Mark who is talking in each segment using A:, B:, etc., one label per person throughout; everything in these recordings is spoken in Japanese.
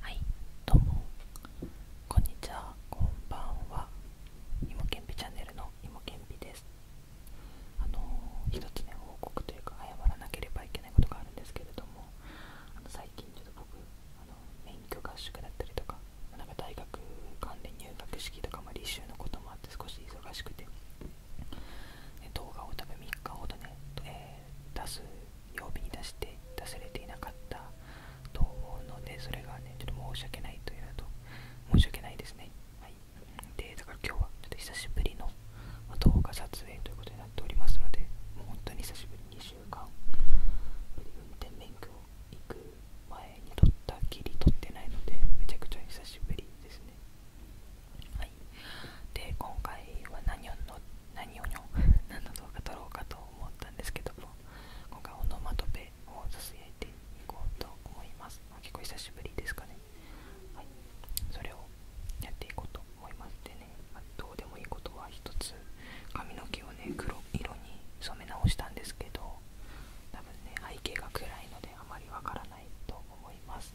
A: はい、どうもこんにちは、こんばんは。いけんぴチャンネルのいけんぴです。あのー、つね、報告というか謝らなければいけないことがあるんですけれども、あの最近ちょっと僕、あの免許合宿だったりとか、なんか大学関連入学式とか、も履修のこともあって少し忙しくて。動画を多分3日ほどね、え出す曜日に出して出されていなかったと思うのでそれがねちょっと申し訳ないというのと申し訳ないですねはいでだから今日はちょっと久しぶりの動画撮影ということになっておりますのでもう本当に久しぶり2週間運転免許行く前に撮ったきり撮ってないのでめちゃくちゃ久しぶりですねはい、で今回は何をの何をの 何の動画撮ろうかと思ったんですけども今回オノマトペをさすやいていこうと思います結構久しぶりですかねはいそれをやっていこうと思いますでね、まどうでもいいことは1つ髪の毛をね黒色に染め直したんですけど多分ね背景が暗いのであまりわからないと思います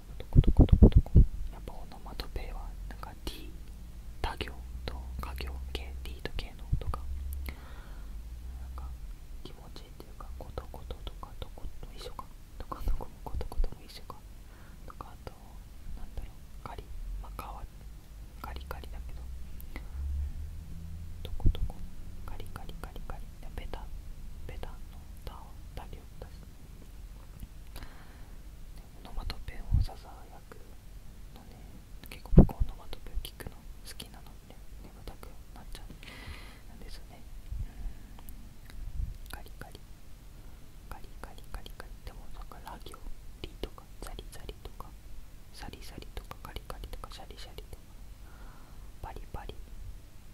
A: トコトコトコトコやっぱオノマトペはなんか D 他行と家行系 D と K のとか。なんか気持ちいいっていうかことこととかどこと一緒かどこどことことコトも一緒かとかあとなんだろうカリまあ皮カリカリだけどどこどこカリカリカリカリベタベタのタオタ行だノマトペンをささやくのね結構僕はノマトペンを聞くの好きなので眠たくなっちゃうんですよねガリガリガリガリガリガリでもだんかラ行リとかザリザリとかサリサリとかカリカリとかシャリシャリとかパリパリ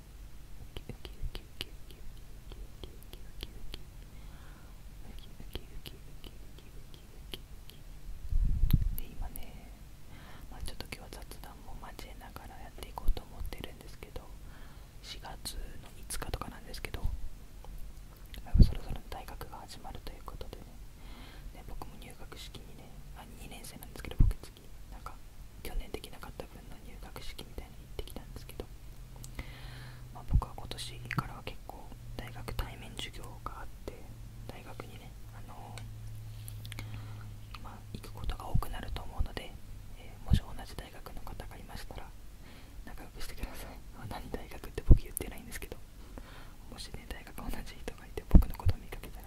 A: で今ね、まあ、ちょっと今日は雑談も交えながらやっていこうと思ってるんですけど4月の5日とかなんですけどそろそろ大学が始まるということでねで僕も入学式にねあ2年生なんですけど僕なんか去年できなかった分の入学式みたいに行ってきたんですけど、ま僕は今年からは結構大学対面授業があって大学にね、あのま行くことが多くなると思うので、えもし同じ大学の方がいましたら仲良くしてください 何大学って僕言ってないんですけどもしね大学同じ人がいて僕のことを見かけたら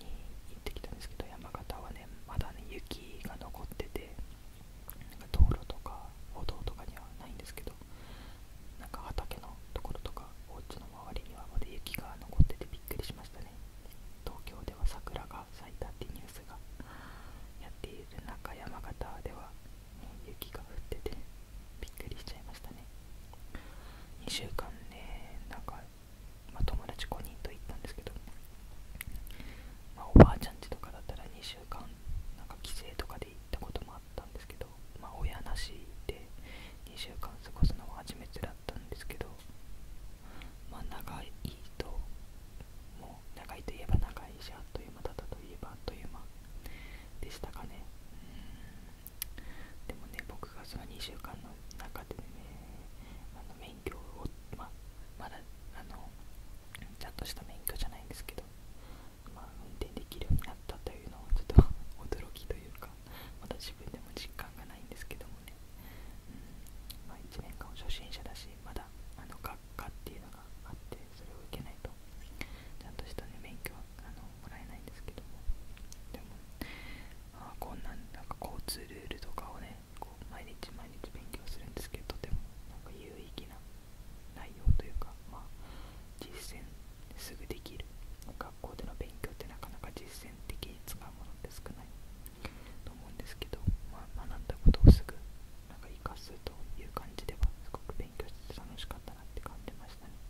A: に行ってきたんですけど山形はねまだね雪が残っててなんか道路とか歩道とかにはないんですけどなんか畑のところとかお家の周りにはまだ雪が残っててびっくりしましたね東京では桜が咲いたってニュースがやっている中山形では、雪が降っててびっくりしちゃいましたね2週間ねなんか、ま友達5人と行ったんですけど、まおばあちゃんちとかだったら2週間なんか帰省とかで行ったこともあったんですけど、ま親なしで2週間過ごすのは初めてだったんですけどま長いともう長いといえば長いしあっという間だったといえばあっという間でしたかねでもね僕がその2週間の中でねあの免許を、ままだあのちゃんとした免許じゃないんですけど、まあ、運転できるようになったというのはちょっと 驚きというかまだ自分でも実感がないんですけどもね、うんま1年間初心者だしまだあの学科っていうのがあってそれを受けないとちゃんとした、ね、免許あのもらえないんですけどもでもあこんなんなんか交通ルールとかをねこう毎日毎日勉強するんですけどとてもなんか有意義な内容というかまあ実践すぐできる学校での勉強ってなかなか実践的に使うものって少ないと思うんですけど、ま学んだことをすぐなんか活かすという感じではすごく勉強して楽しかったなって感じましたね。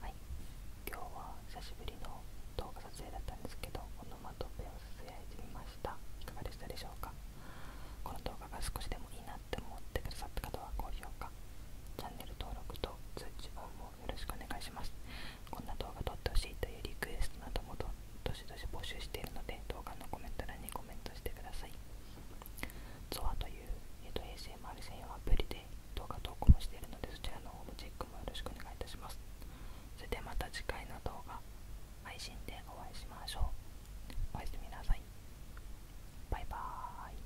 A: はい今日は久しぶりの動画撮影だったんですけどオノマトペを撮影してみましたいかがでしたでしょうかこの動画が少しでもいいなって思ってくださった方は高評価チャンネル登録と通知音もよろしくお願いしますこんな動画撮ってほしいというリクエストなどもどしどし募集しているので動画のコメント欄にコメントしてくださいゾアという、えー、と ASMR 専用アプリで動画投稿もしているのでそちらの方もチェックもよろしくお願いいたしますそれではまた次回の動画配信でお会いしましょうおやすみなさいバイバーイ